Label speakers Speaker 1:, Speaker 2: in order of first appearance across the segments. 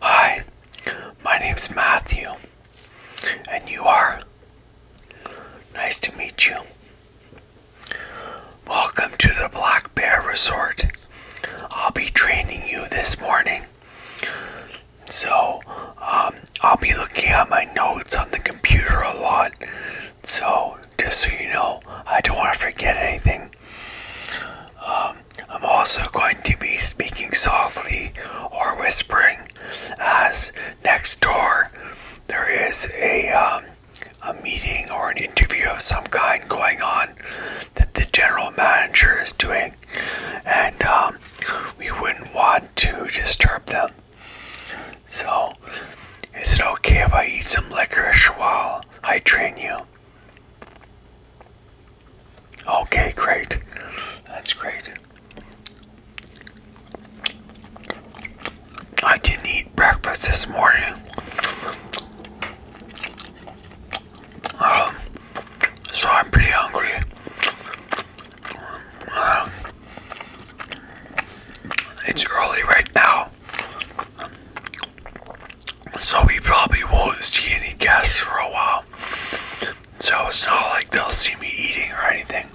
Speaker 1: Hi, my is Matthew, and you are. Nice to meet you. Welcome to the Black Bear Resort. I'll be training you this morning. So, um, I'll be looking at my notes on the computer a lot. So, just so you know, I don't want to forget anything. Um, I'm also going to be speaking softly or whispering as next door there is a, um, a meeting or an interview of some kind going on that the general manager is doing, and um, we wouldn't want to disturb them. So, is it okay if I eat some licorice while I train you? Okay, great. That's great. I didn't eat breakfast this morning. Um, so I'm pretty hungry. Um, it's early right now. So we probably won't see any guests for a while. So it's not like they'll see me eating or anything.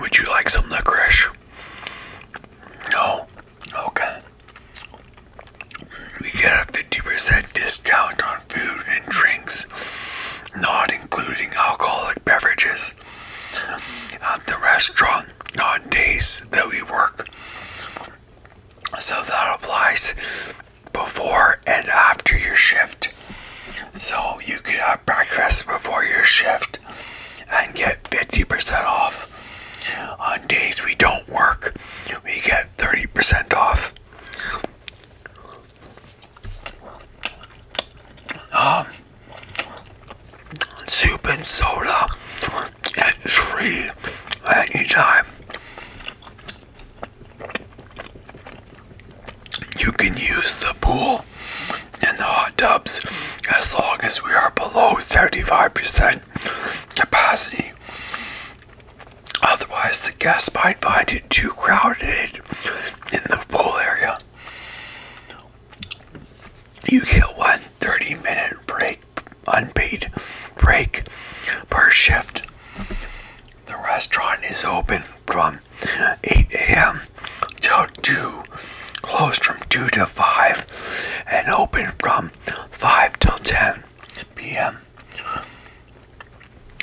Speaker 1: Would you like some licorice? No? Okay. We get a 50% discount on food and drinks, not including alcoholic beverages. At the restaurant on days that we work. So that applies before and after your shift. So you can have uh, breakfast before your shift and get 50% off. On days we don't work, we get 30% off. Um, soup and soda, it's free at any time. You can use the pool and the hot tubs as long as we are below 75% capacity. Otherwise, the guests might find it too crowded in the pool area. You get one 30 minute break unpaid break per shift. The restaurant is open from 8 a.m. till 2, closed from 2 to 5, and open from 5 till 10 p.m.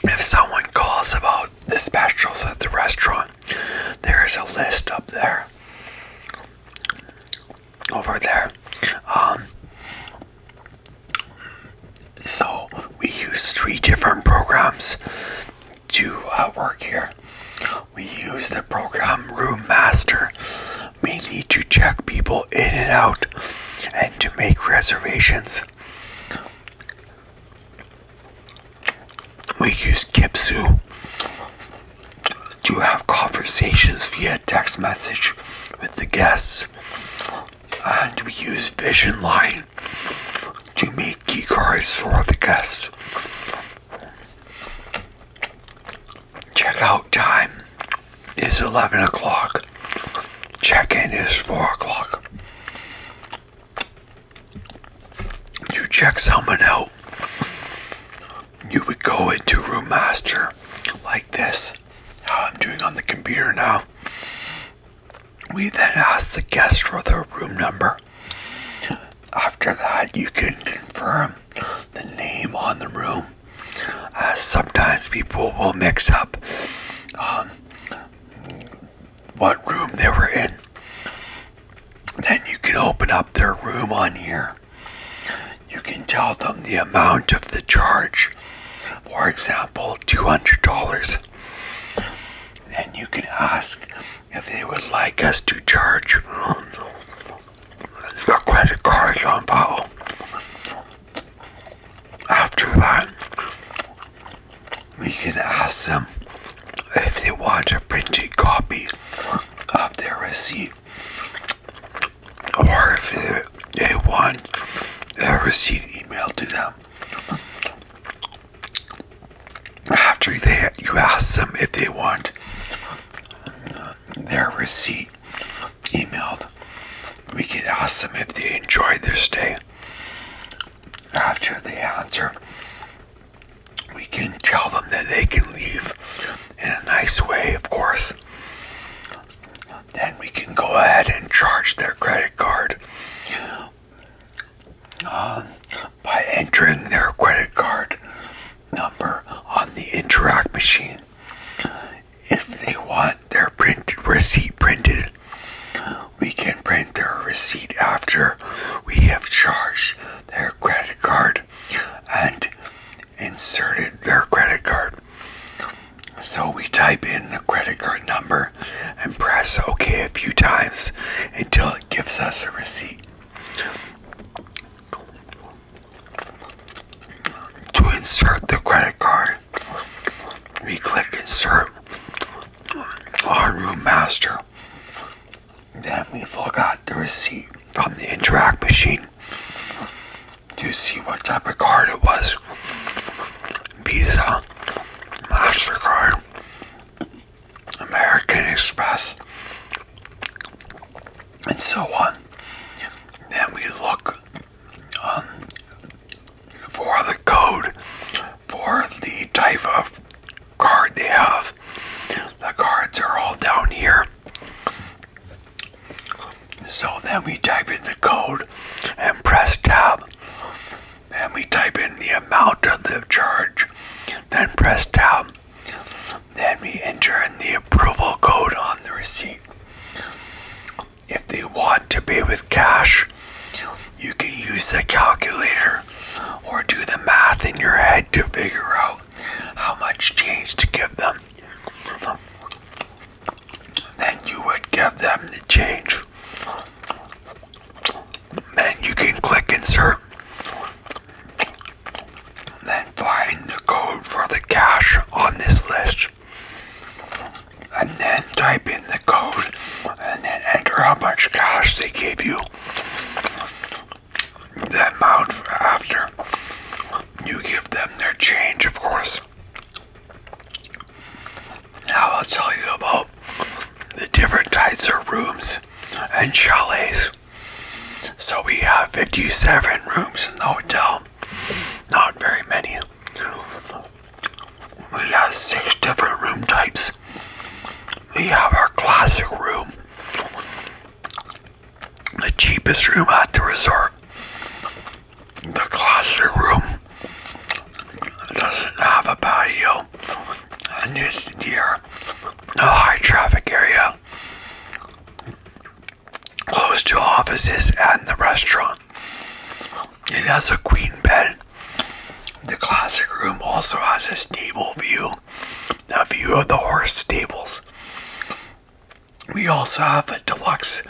Speaker 1: If someone calls about the specials at the restaurant, there is a list up there. Over there. Um, so we use three different programs to uh, work here. We use the program Room Master mainly to check people in and out and to make reservations. We use Kipsu to have conversations via text message with the guests and we use vision light to make key cards for the guests. Checkout time is 11 o'clock. Check-in is 4 o'clock. To check someone out, you would go into Room Master like this how oh, I'm doing on the computer now. We then ask the guest for their room number. After that, you can confirm the name on the room. Uh, sometimes people will mix up um, what room they were in. Then you can open up their room on here you can tell them the amount of the charge. For example, $200. Then you can ask if they would like us to charge the credit cards on file. After that, we can ask them if they want a printed copy of their receipt or if they, want their receipt emailed to them. After that you ask them if they want their receipt emailed, we can ask them if they enjoyed their stay. After they answer, we can tell them that they can leave in a nice way, of course then we can go ahead and charge their credit card um, by entering their credit card number on the interact machine. If they want their print receipt printed, we can print their receipt after we have charged their credit card and inserted their credit card. So we type in the credit card number and press OK a few times until it gives us a receipt. To insert the credit card, we click Insert on Room Master. Then we look at the receipt from the Interact machine. Do you see what type of card it was? Visa, MasterCard, American Express, and so on. Then we look um, for the code for the type of card they have. The cards are all down here. So then we type in the code and press tab. Then we type in the amount of the charge, then press tab. Then we enter in the approval code on the receipt. If they want to pay with cash, you can use a calculator or do the math in your head to figure out how much change to give them then you would give them the change. Then you can click insert. Then find the code for the cash on this list. And then type in the code and then enter how much cash they gave you. The amount after you give them their change, of course. Now I'll tell you about the different types of rooms and chalets. So we have 57 rooms in the hotel. Not very many. We have six different room types. We have our classic room, the cheapest room at the resort. The classic room doesn't have a patio, and it's near a high traffic area, close to offices and the restaurant. It has a queen bed. The classic room also has a stable view, a view of the horse stables. We also have a deluxe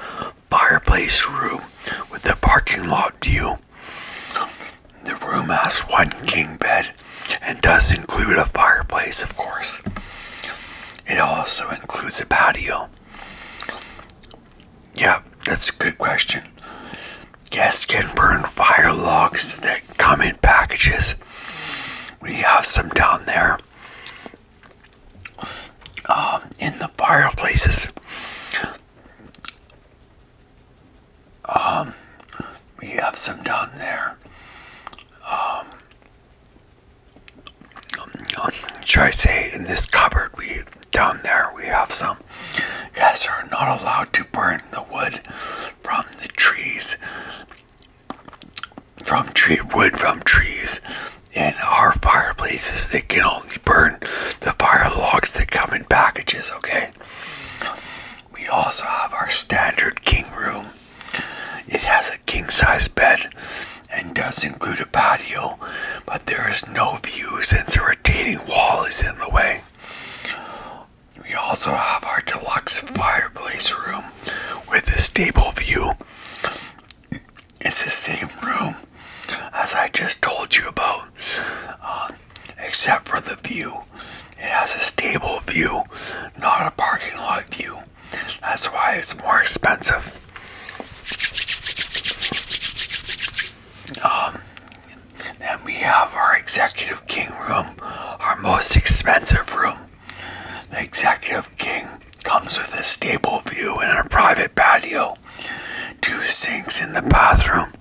Speaker 1: fireplace room with a parking lot view. The room has one king bed and does include a fireplace, of course. It also includes a patio. Yeah, that's a good question. Guests can burn fire logs that come in packages. We have some down there. Um, in the fireplaces. Um, we have some down there. Um, should I say in this cupboard we down there we have some guys are not allowed to burn the wood from the trees from tree wood from trees in our fireplaces they can only burn the fire logs that come in packages okay we also have our standard king room it has a king size bed and does include a patio but there is no view since a rotating wall is in the way we also have our deluxe fireplace room with a stable view it's the same room as I just told you about, uh, except for the view. It has a stable view, not a parking lot view. That's why it's more expensive. Um, then we have our executive king room, our most expensive room. The executive king comes with a stable view and a private patio, two sinks in the bathroom,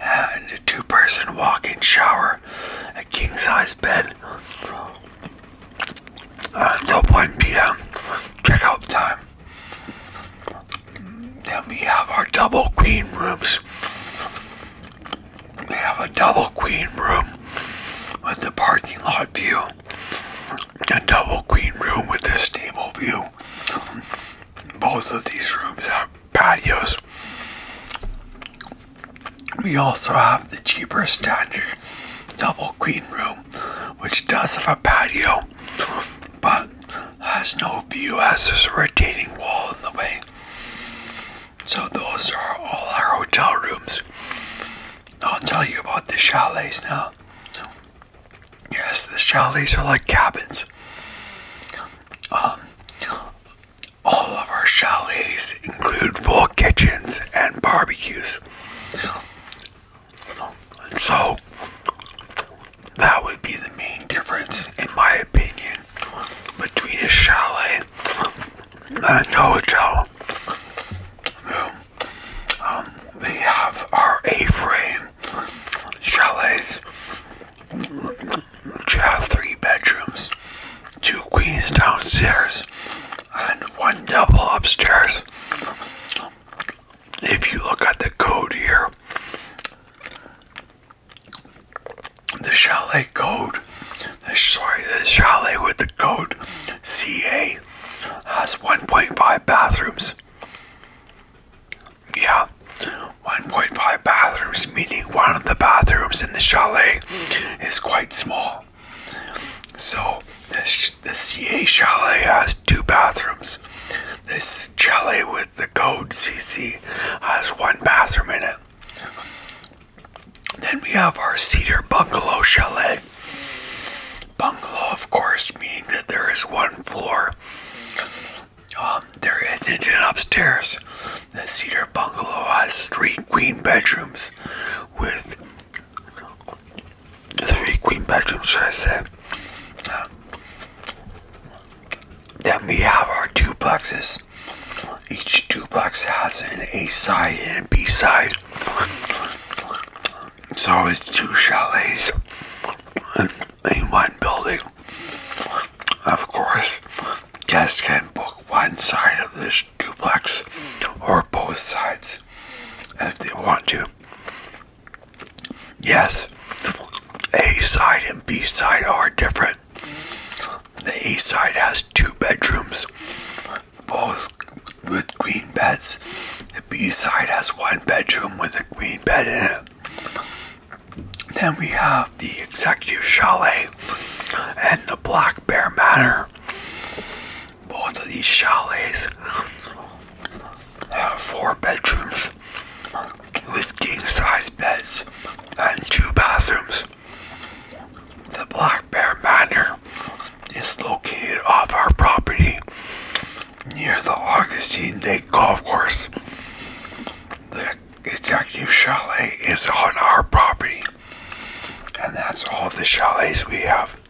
Speaker 1: and a two person walk in shower, a king size bed. Until 1 p.m. checkout time. Then we have our double queen rooms. We have a double queen room with the parking lot view a double queen room with a stable view. Both of these rooms have patios. We also have the cheaper standard double queen room, which does have a patio, but has no view as there's a retaining wall in the way. So those are all our hotel rooms. I'll tell you about the chalets now. Yes, the chalets are like cabins. Um, all of our chalets include full kitchens and barbecues. So, that would be the main difference, in my opinion, between a chalet and a hotel room. Um, we have our A-frame chalets, which have three bedrooms, two queens downstairs, and one double upstairs. If you look at the code here, the chalet code, the, sorry, the chalet with the code CA has 1.5 bathrooms. Yeah, 1.5 bathrooms, meaning one of the bathrooms in the chalet is quite small. So, this, the CA chalet has two bathrooms. This chalet with the code CC has one bathroom in it. Then we have our Cedar Bungalow Chalet. Bungalow, of course, meaning that there is one floor. Um, there isn't an upstairs. The Cedar Bungalow has three queen bedrooms with three queen bedrooms, should I say. Uh, then we have our duplexes. Each duplex has an A side and a B side. It's always two chalets in, one building. Of course, guests can book one side of this duplex or both sides if they want to. Yes, A side and B side are different. The A side has two bedrooms, both with queen beds. The B side has one bedroom with a queen bed in it. Then we have the Executive Chalet and the Black Bear Manor. Both of these chalets have four bedrooms with king size beds and two bathrooms. The Black Bear Manor it's located off our property near the Augustine Lake Golf Course. The executive chalet is on our property, and that's all the chalets we have.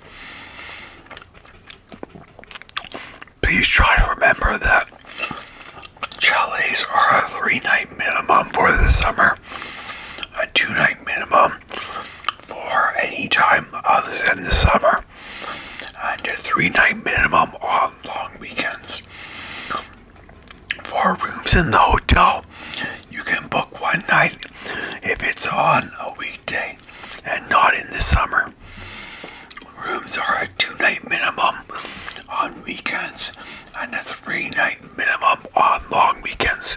Speaker 1: Please try to remember that chalets are a three night minimum for the summer, a two night minimum, for any time other than the summer under three night minimum on long weekends. Four rooms in the hotel, you can book one night if it's on a weekday and not in the summer. Rooms are a two night minimum on weekends and a three night minimum on long weekends.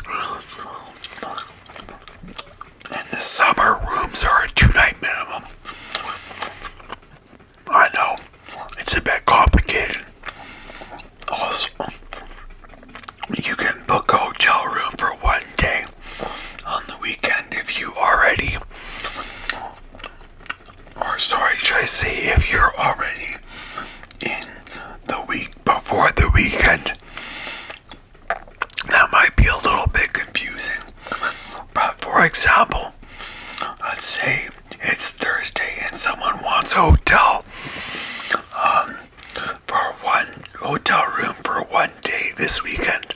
Speaker 1: And the summer, rooms are a two-night minimum. I know it's a bit complicated. Also, you can book a hotel room for one day on the weekend if you already, or sorry, should I say if you're already in the week before the weekend. That might be a little bit confusing. But for example, let's say it's Thursday and someone wants a hotel um, for one hotel room for one day this weekend.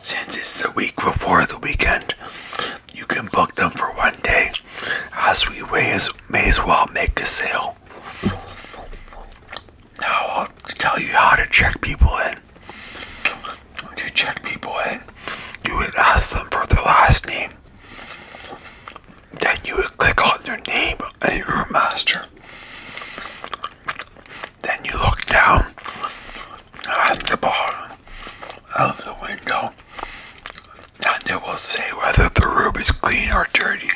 Speaker 1: Since it's the week before the weekend, you can book them for one day. As we may as, may as well make a sale. Now I'll tell you how to check people in. To check people in, you would ask them for their last name. Then you would click on their name and your master. Then you look down at the bottom of the window and it will say whether the room is clean or dirty.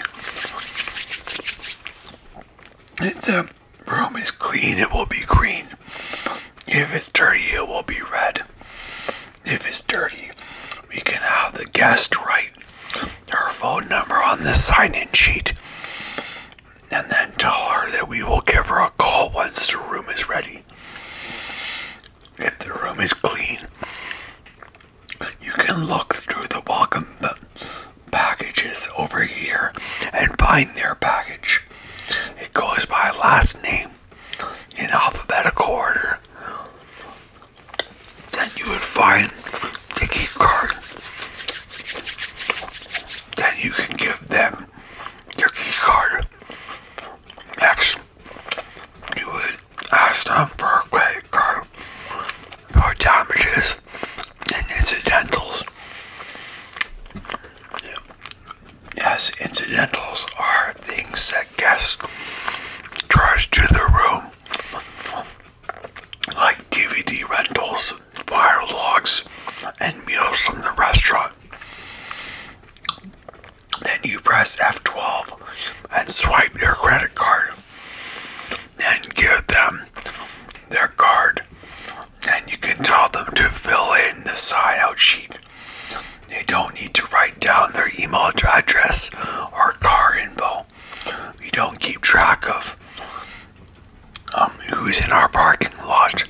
Speaker 1: If the room is clean, it will be green. If it's dirty, it will be red. If it's dirty, we can have the guest write her phone number on the sign in sheet and then tell her that we will give her a call once the room is ready. If the room is clean, you can look through the welcome packages over here and find their package. It goes by last name in alphabetical order. Then you would find the key card. Then you can give them your key card. Next, you would Ask them for a credit card for damages and incidentals. Yes, incidentals are things that guests charge to the room, like DVD rentals, fire logs, and meals from the restaurant. Then you press F12 and swipe your credit card and give them their card. And you can tell them to fill in the sign out sheet. They don't need to write down their email address or car info. We don't keep track of um, who's in our parking lot.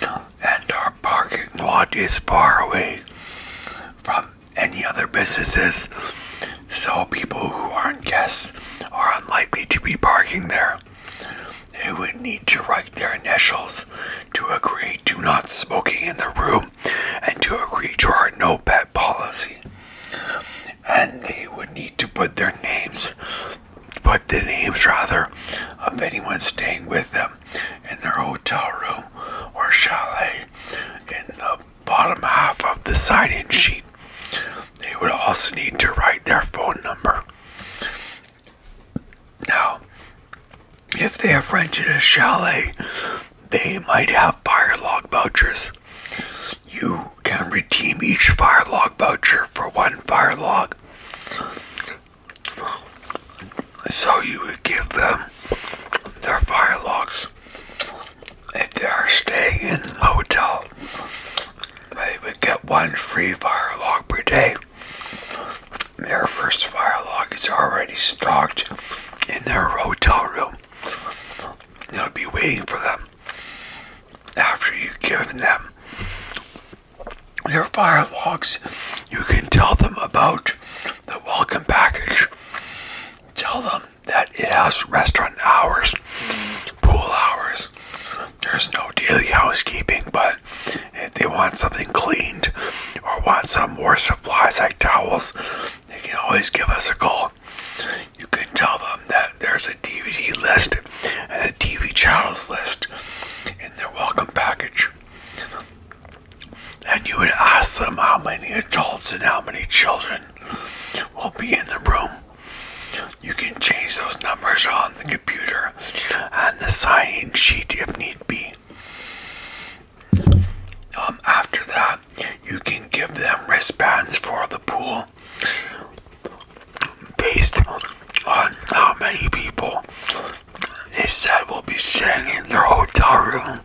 Speaker 1: And our parking lot is far away from any other businesses, so people who aren't guests are unlikely to be parking there. They would need to write their initials to agree to not smoking in the room and to agree to our no pet policy. And they would need to put their names, put the names rather, of anyone staying with them in their hotel room or chalet in the bottom half of the sign in sheet. They would also need to write their phone number. Now, if they have rented a chalet, they might have fire log vouchers. You can redeem each fire log voucher for one fire log. So you would give them their fire logs if they are staying in the hotel, they would get one free fire log per day. Their first fire log is already stocked in their hotel room. It'll be waiting for them after you give them their fire logs. You can tell them about the welcome package. Tell them that it has restaurant hours, pool hours. There's no daily housekeeping, but if they want something cleaned or want some more supplies like towels, they can always give us a call. You can tell them that there's a DVD list and a TV channels list in their welcome package. And you would ask them how many adults and how many children will be in the room. You can change those numbers on the computer and the signing sheet if need be. Um, after that, you can give them wristbands for the pool based on how many people they said will be staying in their hotel room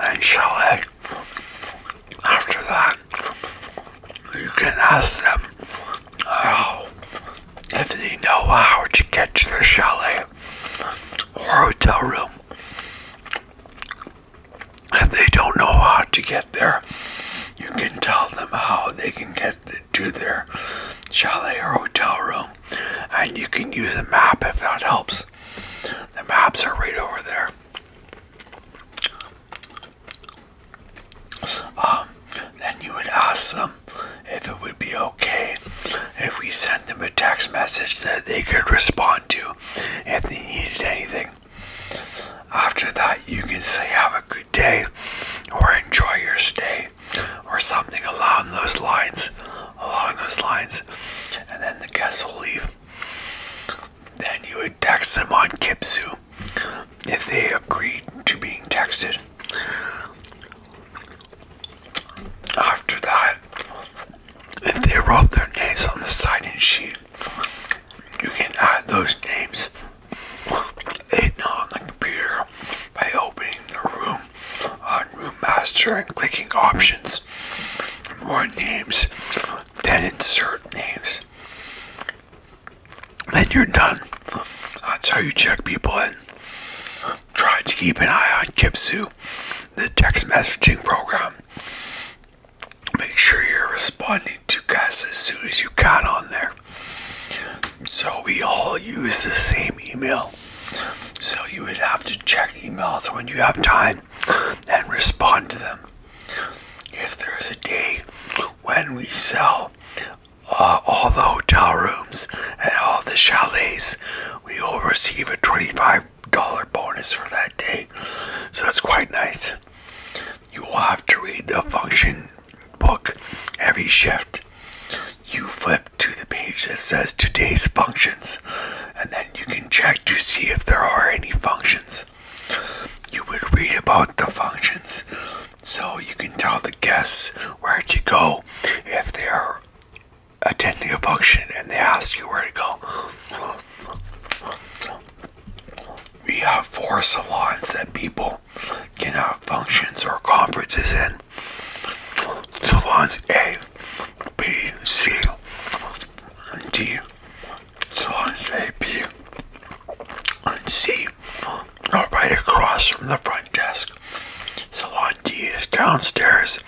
Speaker 1: and chalet after that, you can ask them oh, if they know how to get to the chalet or hotel room. If they don't know how to get there, you can tell them how they can get to their chalet or hotel room. And you can use a map if that helps. The maps are right over there. Um, then you would ask them if it would be okay if we sent them a text message that they could respond to if they needed anything. After that, you can say, Have a good day, or enjoy your stay, or something along those lines. Along those lines, and then the guests will leave. Then you would text them on Kipsu if they agreed to being texted. After that, if they wrote their names on the signing sheet, you can add those names hidden on the computer by opening the room on Room Master and clicking Options. More names then insert names. Then you're done. That's how you check people in. Try to keep an eye on Kipsu, the text messaging program. Make sure you're responding to guys as soon as you can on there. So we all use the same email. So you would have to check emails when you have time and respond to them. If there's a day when we sell uh, all the hotel rooms and all the chalets, we will receive a $25 bonus for that day. So it's quite nice. You will have to read the function book every shift. You flip to the page that says today's functions and then you can check to see if there are any functions. You would read about the functions so you can tell the guests where to go if they are attending a function and they ask you where to go. We have four salons that people can have functions or conferences in. Salons A, B, C and D, Salons A, B, and C are right across from the front desk. Salon D is downstairs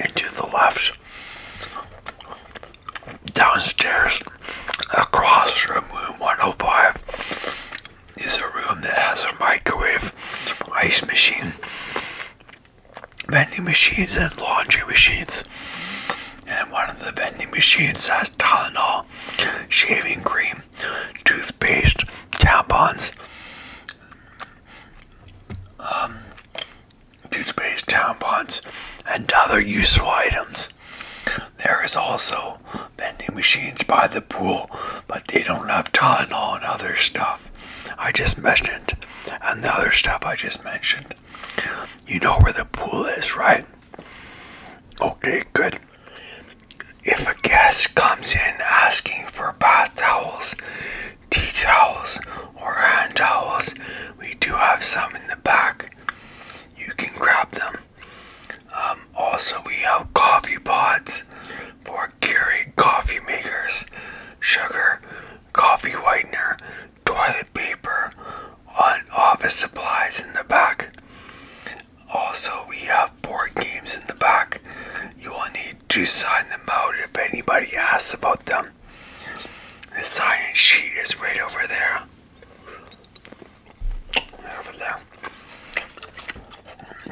Speaker 1: and to the left. Downstairs, across from room 105, is a room that has a microwave, ice machine, vending machines and laundry machines. And one of the vending machines has Tylenol, shaving cream, toothpaste, tampons, um, toothpaste, tampons, and other useful items. There is also vending machines by the pool, but they don't have Tylenol and other stuff I just mentioned, and the other stuff I just mentioned. You know where the pool is, right? Okay, good. If a guest comes in asking for bath towels, tea towels, or hand towels, we do have some in the back. You can grab them. Um, also, we have coffee pods for Keurig coffee makers, sugar, coffee whitener, toilet paper, on office supplies in the back. Also, we have board games in the back. You will need to sign them out if anybody asks about them. The sign-in sheet is right over there. Over there.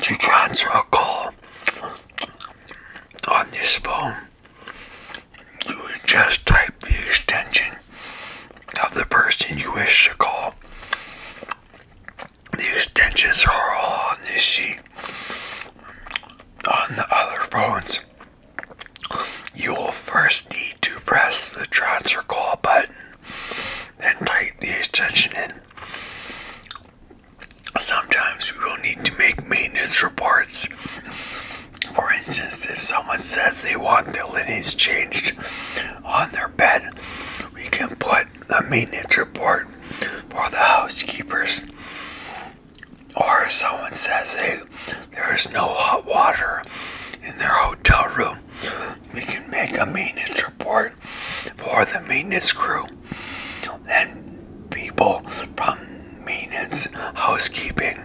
Speaker 1: To transfer a call on this phone you would just type the extension of the person you wish to call. The extensions are all on this sheet. On the other phones, you will first need to press the transfer call button, then type the extension in. Sometimes we will need to make maintenance reports for instance, if someone says they want the linens changed on their bed, we can put a maintenance report for the housekeepers. Or if someone says hey, there is no hot water in their hotel room, we can make a maintenance report for the maintenance crew. And people from maintenance, housekeeping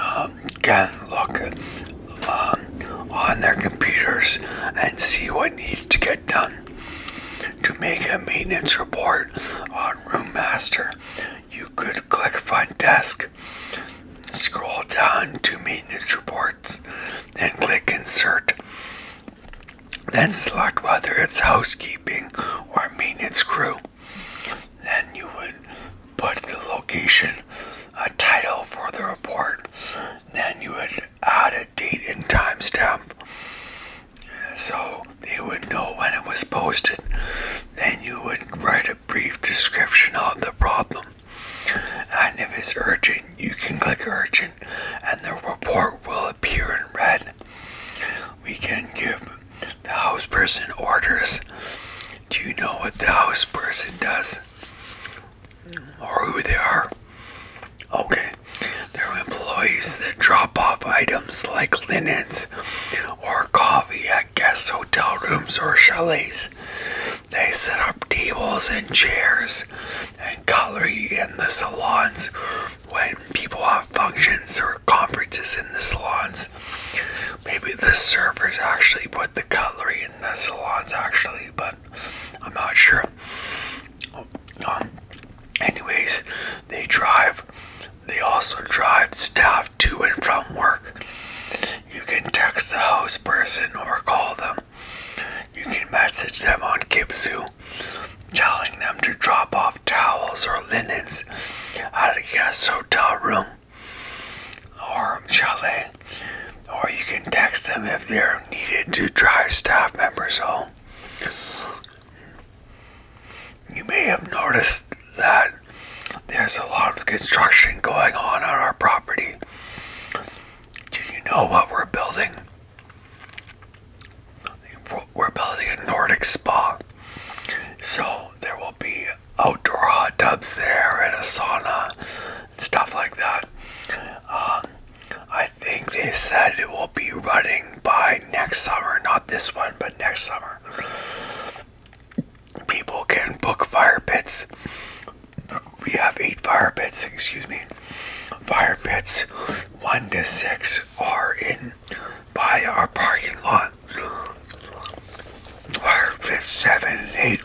Speaker 1: um, can look um, on their computers and see what needs to get done. To make a maintenance report on Room Master, you could click Find Desk, scroll down to Maintenance Reports, and click Insert. Then select whether it's housekeeping or maintenance crew. Then you would put the location, a title for the report. Then you would add a date and timestamp so they would know when it was posted. Then you would write a brief description of the problem. And if it's urgent, you can click urgent and the report will appear in red we can give the house person orders. Do you know what the house person does? Or who they are? Okay, they're employees that drop off items like linens or coffee at guest hotel rooms or chalets. They set up tables and chairs and cutlery in the salons when people have functions or conferences in the salons, maybe the servers actually put the cutlery in the salons, actually, but I'm not sure. Um, anyways, they drive, they also drive staff to and from work. You can text the host person or call them. You can message them on Kipsu telling them to drop off towels or linens at a guest hotel room or chalet, or you can text them if they're needed to drive staff members home. You may have noticed that there's a lot of construction going on on our property. Do you know what we're building? We're building a Nordic spa. So there will be outdoor hot tubs there and a sauna and stuff like that. Um, I think they said it will be running by next summer, not this one, but next summer. People can book fire pits. We have eight fire pits, excuse me. Fire pits one to six are in by our parking lot where fifth, seven, and eight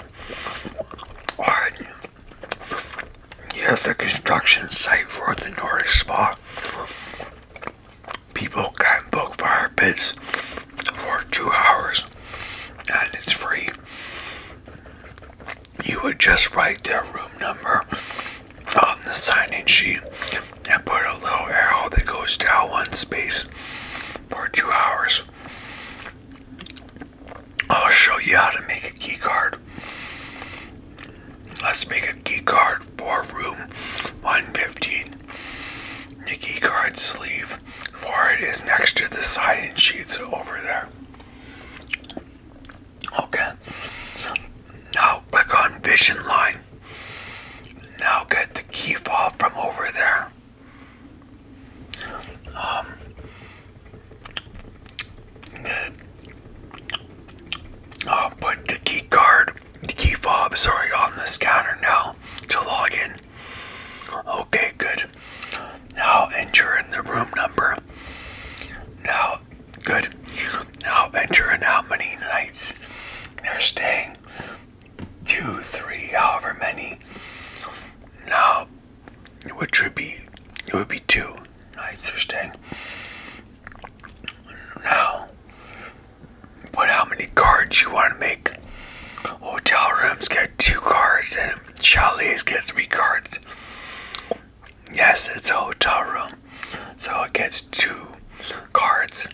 Speaker 1: are near the construction site for the Nordic Spa. People can book fire pits for two hours and it's free. You would just write their room number on um, the signing sheet and put a little arrow that goes down one space for two hours. I'll show you how to make a key card. Let's make a key card for room 115. The key card sleeve for it is next to the signing sheets over there. Okay. Now click on vision line. Now get the key fob from over there. Um, then I'll put the key card, the key fob, sorry, on the scanner now to log in. Okay, good. Now enter in the room number. Now, good. Now enter in how many nights they're staying two, three, however many. Now, which would be it would be two nights they're staying. Now, but how many cards you want to make? Hotel rooms get two cards, and chalets get three cards. Yes, it's a hotel room. So it gets two cards.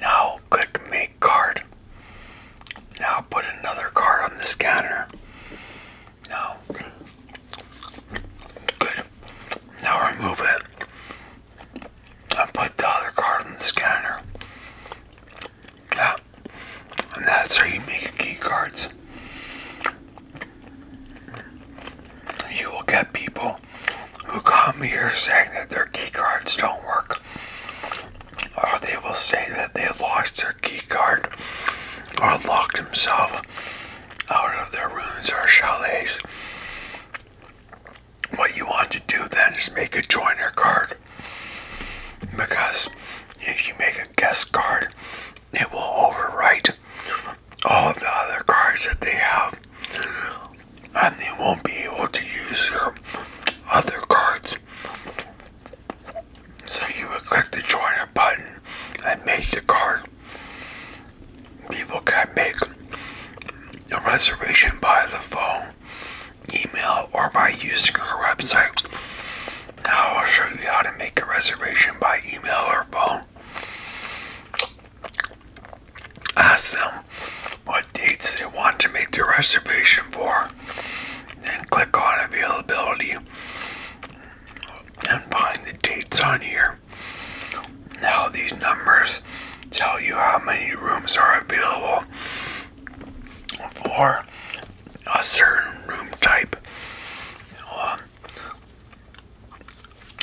Speaker 1: Now click make card. Now put another card on the scanner. Now, good. Now remove it and put the other card on the scanner. Yeah, and that's how you make key cards. You will get people who come here saying that their key cards don't work, or they will say that they lost their key card or locked themselves out of their rooms or chalets. What you want to do then is make a joiner card because if you make a guest card, it will overwrite all the other cards that they have, and they won't be able to use your other cards. So you would click the joiner button and make your card. People can make a reservation by the phone, email, or by using our website. Now I'll show you how to make a reservation by email or phone. Ask them what dates they want to make the reservation for, and click on availability and find the dates on here. Now, these numbers tell you how many rooms are available for a certain room type. Um,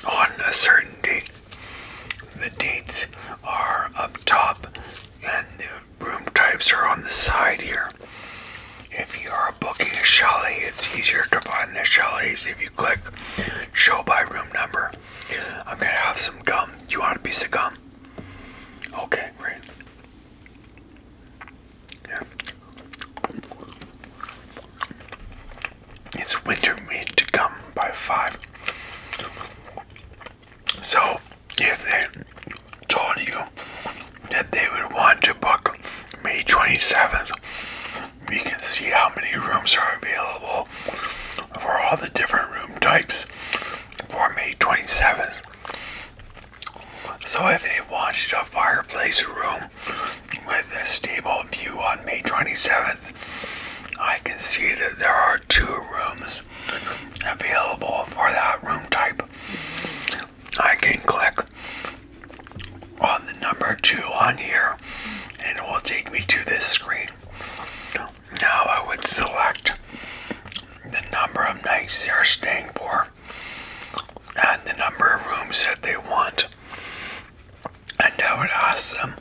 Speaker 1: on a certain date. The dates are up top and the room types are on the side here. If you are booking a chalet, it's easier to find the chalets if you click show by room number. I'm gonna have some gum. you want a piece of gum? Okay, great. Yeah. It's winter meat to come by five. So if they told you that they would want to book May 27th, we can see how many rooms are available for all the different room types for May 27th. So if they wanted a fireplace room with a stable view on May 27th, I can see that there are two rooms available for that room type. I can click on the number two on here and it will take me to this screen. Now I would select the number of nights they're staying for and the number of rooms that they want. And I would ask them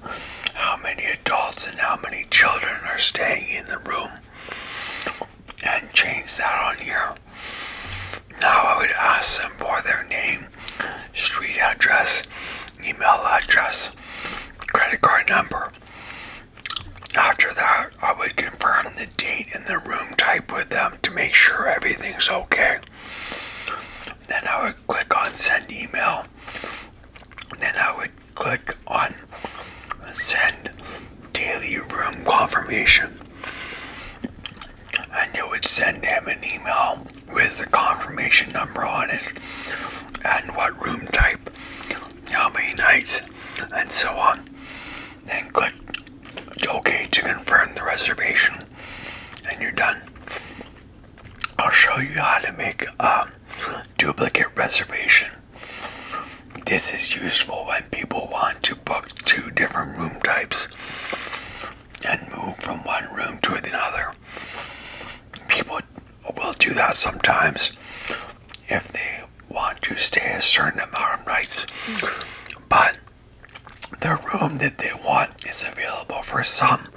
Speaker 1: how many adults and how many children are staying in the room and change that on here. Now I would ask them for their name, street address, email address, credit card number. After that, I would confirm the date and the room type with them to make sure everything's okay. Then I would click on send email. Then I would click on send daily room confirmation. And it would send him an email with the confirmation number on it and what room type, how many nights, and so on. Then click OK to confirm the reservation and you're done. I'll show you how to make a duplicate reservation. This is useful when people want to book two different room types and move from one room to another. People will do that sometimes if they want to stay a certain amount of nights, mm. but the room that they want is available for some,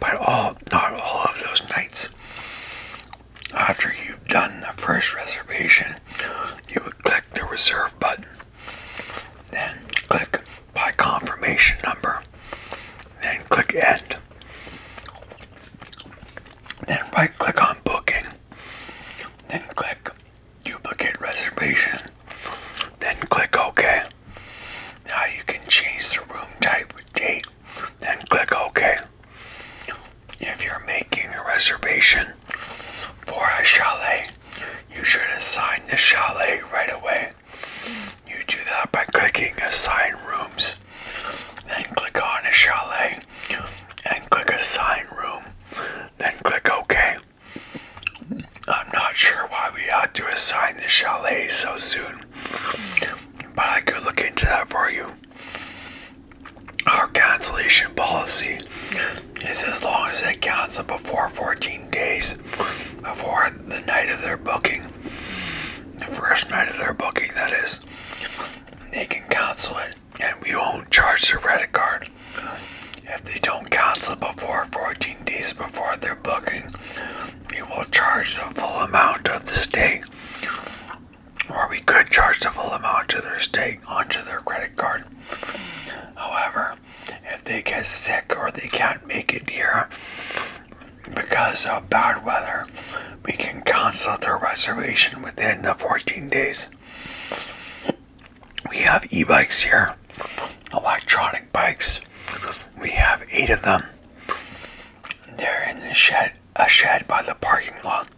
Speaker 1: but all not all of those nights. After you've done the first reservation, you would click the reserve button, then click by confirmation number, then click end. Then right click on booking, then click duplicate reservation, then click OK. Now you can change the room type with date, then click OK. If you're making a reservation for a chalet, you should assign the chalet right away. You do that by clicking Assign Rooms, then click on a chalet, and click Assign Room, then click OK. I'm not sure why we had to assign the chalet so soon, but I could look into that for you. Our cancellation policy is as long as they cancel before 14 days before the night of their booking. The first night of their booking, that is. They can cancel it and we won't charge their credit card if they don't cancel before 14 days before their booking, we will charge the full amount of the state, or we could charge the full amount to their state onto their credit card. However, if they get sick or they can't make it here because of bad weather, we can cancel their reservation within the 14 days. We have e bikes here, electronic bikes. We have eight of them. They're in the shed, a shed by the parking lot.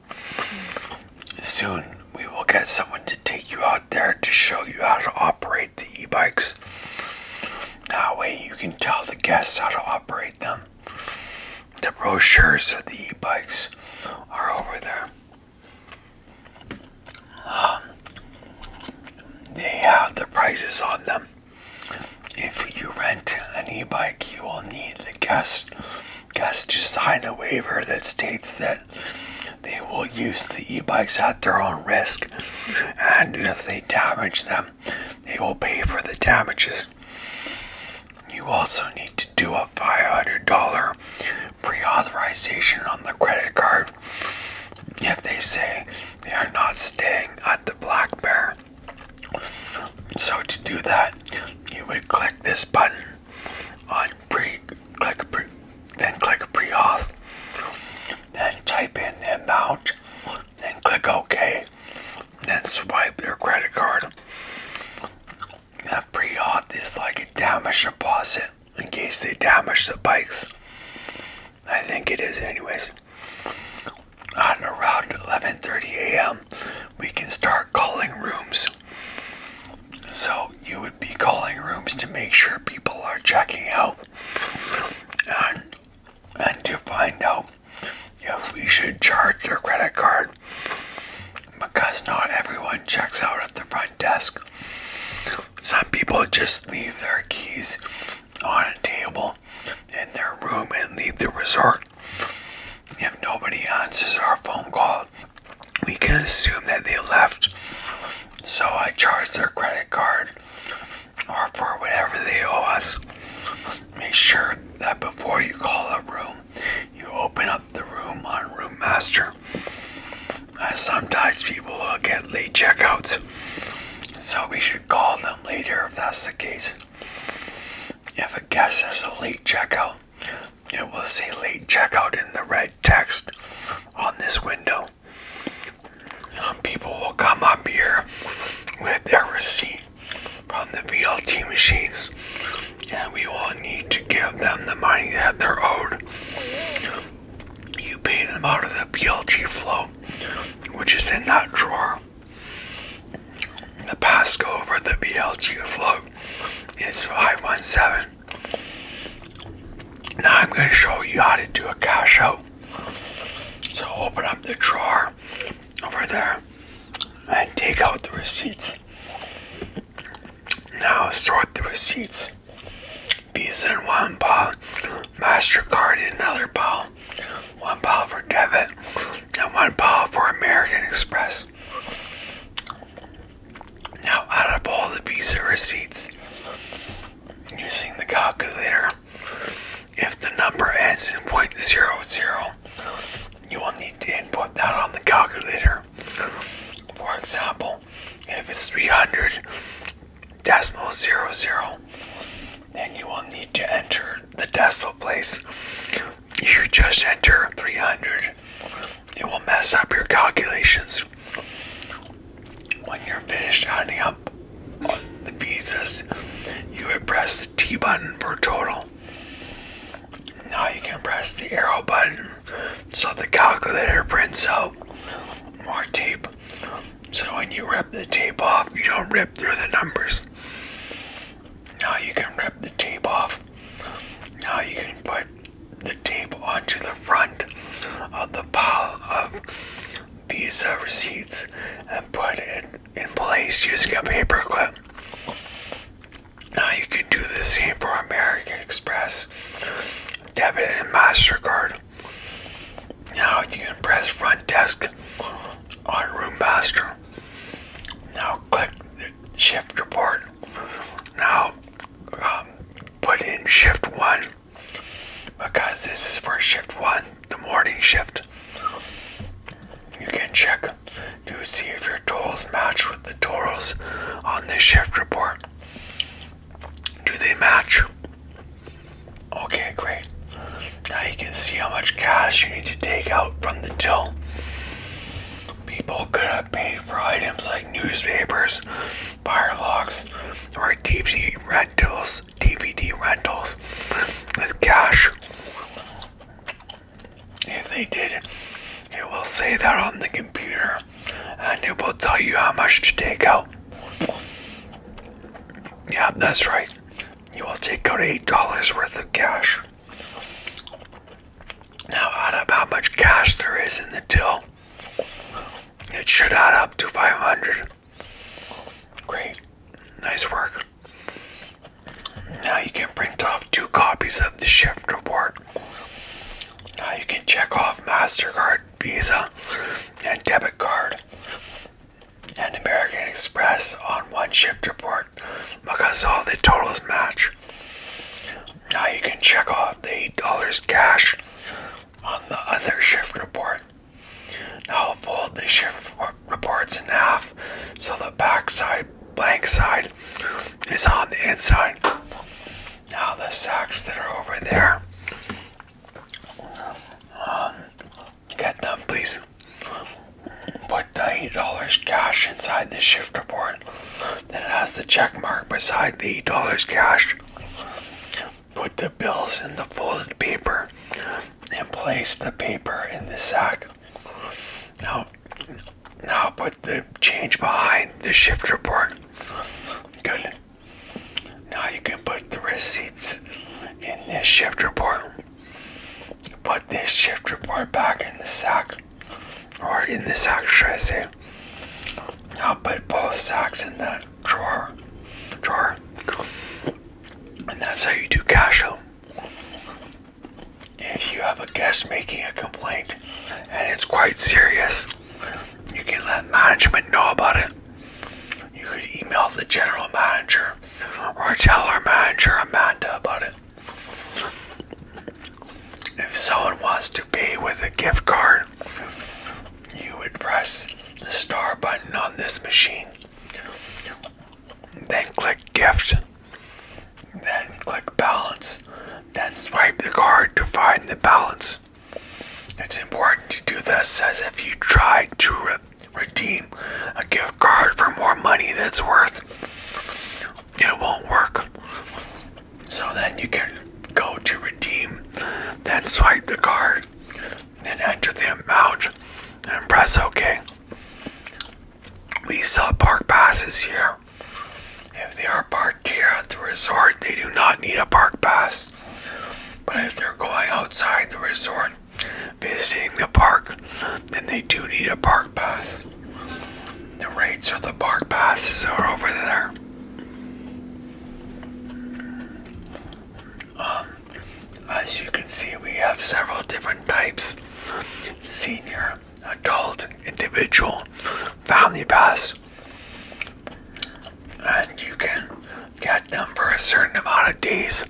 Speaker 1: Soon we will get someone to take you out there to show you how to operate the e-bikes. That way you can tell the guests how to operate them. The brochures of the e-bikes are over there. Um, they have the prices on them. If you rent an e-bike, you will need the guest guest to sign a waiver that states that they will use the e-bikes at their own risk, and if they damage them, they will pay for the damages. You also need to do a $500 pre-authorization on the credit card if they say they are not staying at the Black Bear. So to do that, you would click this button on pre click pre then click pre-auth then type in the amount then click OK then swipe your credit card. That pre is like a damage deposit in case they damage the bikes. I think it is anyways. On around 11.30 a.m. we can start calling rooms. So you would be calling rooms to make sure people are checking out and, and to find out if we should charge their credit card because not everyone checks out at the front desk. Some people just leave their keys on a table in their room and leave the resort. If nobody answers our phone call, we can assume that they left. So I charge their credit card or for whatever they owe us. Make sure that before you call a room, you open up the room on Room Master. Uh, sometimes people will uh, get late checkouts, so we should call them later if that's the case. If a guest has a late checkout, it will say late checkout in the red text on this window. Um, people will come up here with their receipt from the VLT machines, and we will need to give them the money that they're owed you pay them out of the BLT float, which is in that drawer. The passcode for the BLG float is 517. Now I'm going to show you how to do a cash out. So open up the drawer over there and take out the receipts. Now sort the receipts. Visa in one ball, MasterCard in another ball, one ball for debit, and one ball for American Express. Now, out of all the Visa receipts, using the calculator, if the number ends in point zero zero, you will need to input that on the calculator. For example, if it's 300, decimal zero zero and you will need to enter the decimal place. If you just enter 300, it will mess up your calculations. When you're finished adding up the pizzas, you would press the T button for total. Now you can press the arrow button so the calculator prints out more tape so when you rip the tape off, you don't rip through the numbers. Now you can rip the tape off. Now you can put the tape onto the front of the pile of these uh, receipts and put it in place using a paper clip. Now you can do the same for American Express, debit, and MasterCard. Now you can press front desk on Room Master. Now click Shift Report. Now um, put in Shift 1 because this is for Shift 1, the morning shift. You can check to see if your totals match with the totals on the shift report. Do they match? Okay, great. Now you can see how much cash you need to take out from the till. People could have paid for items like newspapers, fire logs, or DVD rentals, DVD rentals with cash. If they did, it will say that on the computer and it will tell you how much to take out. Yeah, that's right. You will take out $8 worth of cash. Now, out of how much cash there is in the till, it should add up to 500. Great. Nice work. Now you can print off two copies of the shift report. Now you can check off MasterCard Visa and debit card and American Express on one shift report because all the totals match. Now you can check off the $8 cash on the other shift report. Now fold the shift reports in half so the back side, blank side, is on the inside. Now the sacks that are over there um, get them, please. Put the $8 cash inside the shifter report. Then it has the check mark beside the $8 cash. Put the bills in the folded paper and place the paper in the sack. Now, now put the change behind the shifter report. Good. Now you can put the receipts in this shift report. Put this shift report back in the sack, or in the sack, should I say? Now put both sacks in that drawer, drawer, and that's how you do cash If you have a guest making a complaint and it's quite serious, you can let management know about it. You could email the general manager or tell our manager Amanda about it. If someone wants to pay with a gift card, you would press the star button on this machine. Then click gift. Then click balance. Then swipe the card to find the balance. It's important to do this as if you tried to redeem a gift card for more money that's worth. It won't work. So then you can go to redeem, then swipe the card, and enter the amount, and press OK. We sell park passes here. If they are parked here at the resort, they do not need a park pass. But if they're going outside the resort, visiting the park, then they do need a park pass. The rates for the park passes are over there. Um, as you can see, we have several different types senior, adult, individual, family pass and you can get them for a certain amount of days,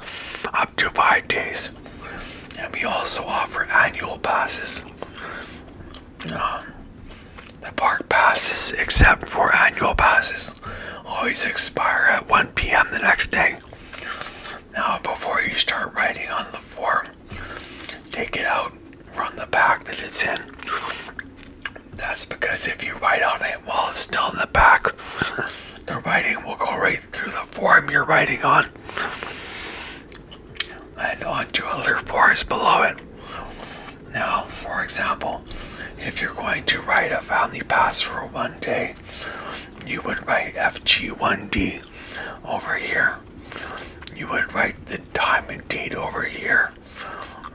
Speaker 1: up to five days. And we also offer annual passes. Um, the park passes, except for annual passes, always expire at 1 p.m. the next day. Now, before you start writing on the form, take it out from the pack that it's in that's because if you write on it while it's still in the back, the writing will go right through the form you're writing on and onto other forms below it. Now, for example, if you're going to write a family pass for one day, you would write FG1D over here. You would write the time and date over here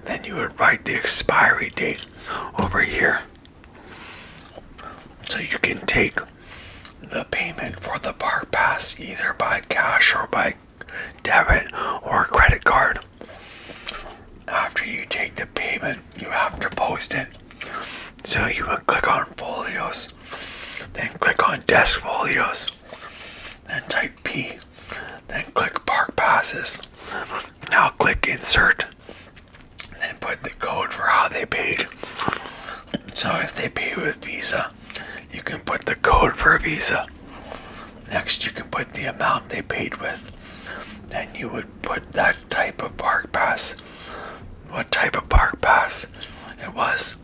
Speaker 1: then you would write the expiry date over here so you can take the payment for the park pass either by cash or by debit or credit card after you take the payment you have to post it so you would click on folios then click on desk folios and type P, then click Park Passes. Now click Insert, then put the code for how they paid. So if they pay with Visa, you can put the code for Visa. Next, you can put the amount they paid with. Then you would put that type of park pass. What type of park pass it was.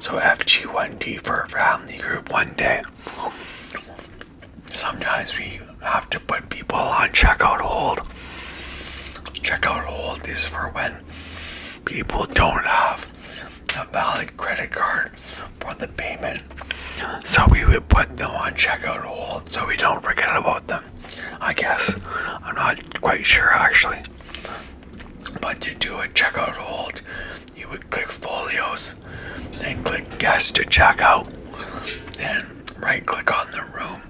Speaker 1: So FG1D for a family group one day sometimes we have to put people on checkout hold. Checkout hold is for when people don't have a valid credit card for the payment. So we would put them on checkout hold so we don't forget about them. I guess. I'm not quite sure actually. But to do a checkout hold, you would click folios, then click guest to check out, then right click on the room,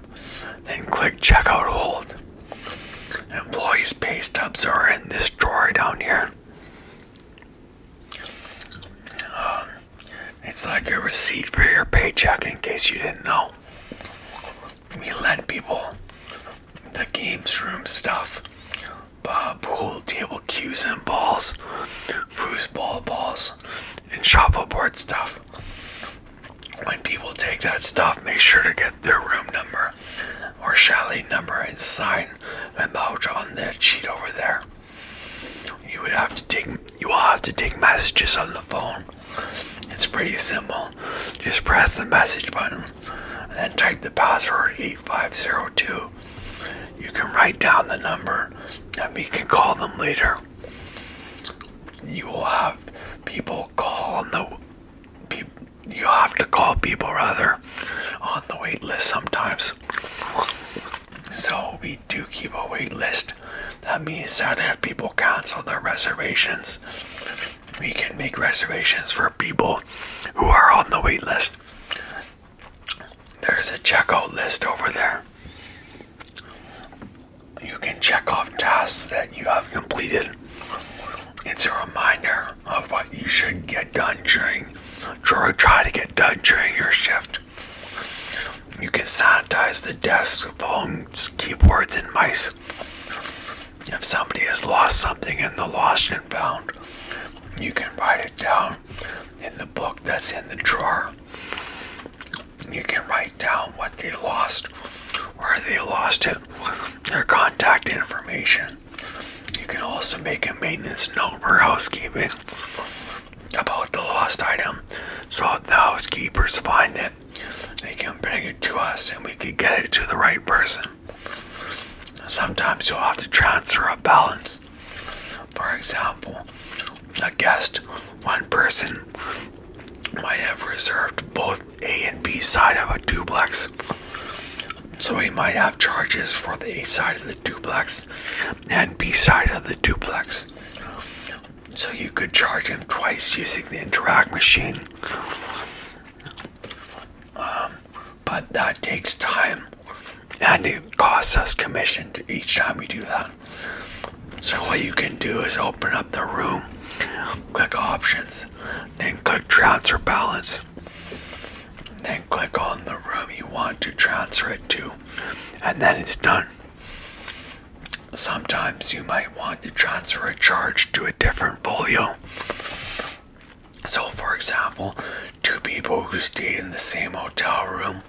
Speaker 1: then click checkout hold. Employees pay stubs are in this drawer down here. Um, it's like a receipt for your paycheck in case you didn't know. We lend people the games room stuff Bob uh, pool table cues and balls, foosball balls, and shuffleboard stuff. When people take that stuff, make sure to get their room number or chalet number and sign them out on that sheet over there. You would have to take you will have to take messages on the phone. It's pretty simple. Just press the message button and type the password 8502 you. can write down the number and we can call them later. You will have people call on the you have to call people rather on the wait list sometimes. So we do keep a wait list. That means that if people cancel their reservations, we can make reservations for people who are on the wait list. There's a checkout list over there. You can check off tasks that you have completed. It's a reminder of what you should get done during, try to get done during your shift. You can sanitize the desks, phones, keyboards, and mice. If somebody has lost something in the lost and found, you can write it down in the book that's in the drawer. You can write down what they lost, or they lost it, their contact information. You can also make a maintenance note for housekeeping about the lost item so the housekeepers find it. They can bring it to us and we can get it to the right person. Sometimes you'll have to transfer a balance for example, a guest, one person, might have reserved both A and B side of a duplex. So he might have charges for the A side of the duplex and B side of the duplex. So you could charge him twice using the interact machine. Um, but that takes time and it costs us commission each time we do that. So what you can do is open up the room, click options, then click transfer balance, then click on the room you want to transfer it to, and then it's done. Sometimes you might want to transfer a charge to a different folio. So for example, Two people who stayed in the same hotel room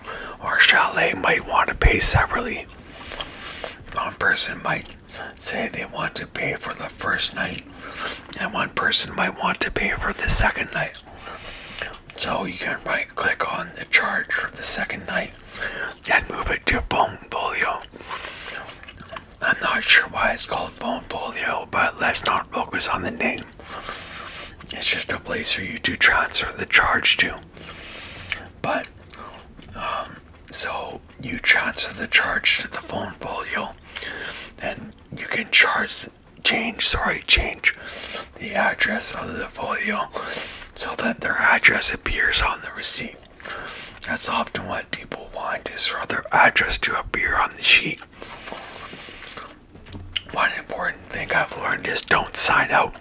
Speaker 1: or chalet might want to pay separately. One person might say they want to pay for the first night, and one person might want to pay for the second night. So you can right click on the charge for the second night and move it to phone folio. I'm not sure why it's called phone folio, but let's not focus on the name. It's just a place for you to transfer the charge to. But, um, so you transfer the charge to the phone folio, and you can charge, change, sorry, change the address of the folio so that their address appears on the receipt. That's often what people want is for their address to appear on the sheet. One important thing I've learned is don't sign out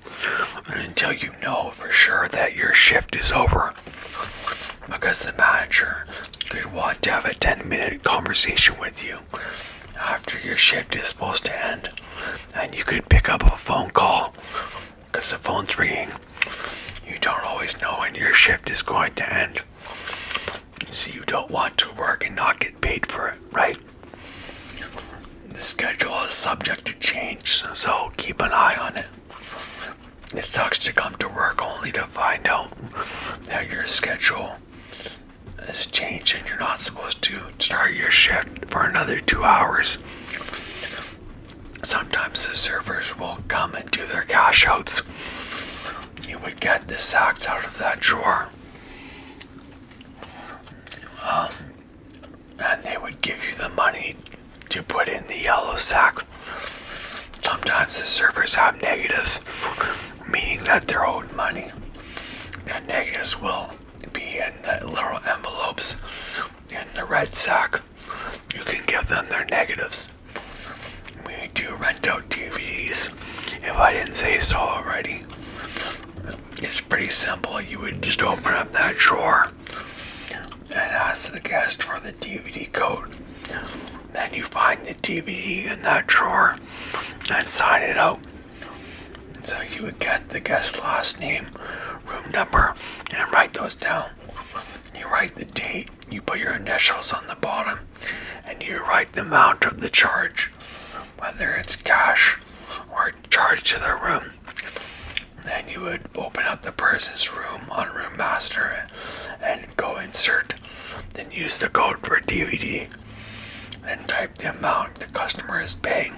Speaker 1: until you know for sure that your shift is over. Because the manager could want to have a 10 minute conversation with you after your shift is supposed to end. And you could pick up a phone call because the phone's ringing. You don't always know when your shift is going to end. So you don't want to work and not get paid for it, right? The schedule is subject to change, so keep an eye on it. It sucks to come to work only to find out that your schedule is changed and you're not supposed to start your shift for another two hours. Sometimes the servers will come and do their cash outs. You would get the sacks out of that drawer um, and they would give you the money to put in the yellow sack. Sometimes the servers have negatives, meaning that they're owed money. The negatives will be in the little envelopes in the red sack. You can give them their negatives. We do rent out DVDs, if I didn't say so already. It's pretty simple. You would just open up that drawer and ask the guest for the DVD code. Then you find the DVD in that drawer and sign it out. So you would get the guest's last name, room number, and write those down. You write the date, you put your initials on the bottom, and you write the amount of the charge whether it's cash or charged to the room. Then you would open up the person's room on Room Master and go insert. Then use the code for DVD. and type the amount the customer is paying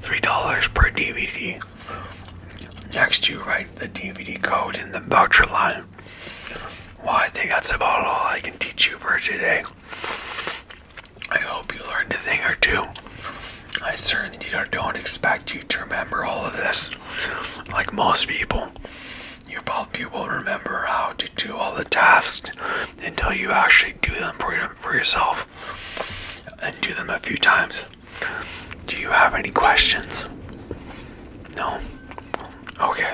Speaker 1: $3 per DVD. Next, you write the DVD code in the voucher line. Why, I think that's about all I can teach you for today. I hope you learned a thing or two. I certainly don't expect you to remember all of this. Like most people, you probably won't remember how to do all the tasks until you actually do them for, for yourself and do them a few times. Do you have any questions? No? Okay.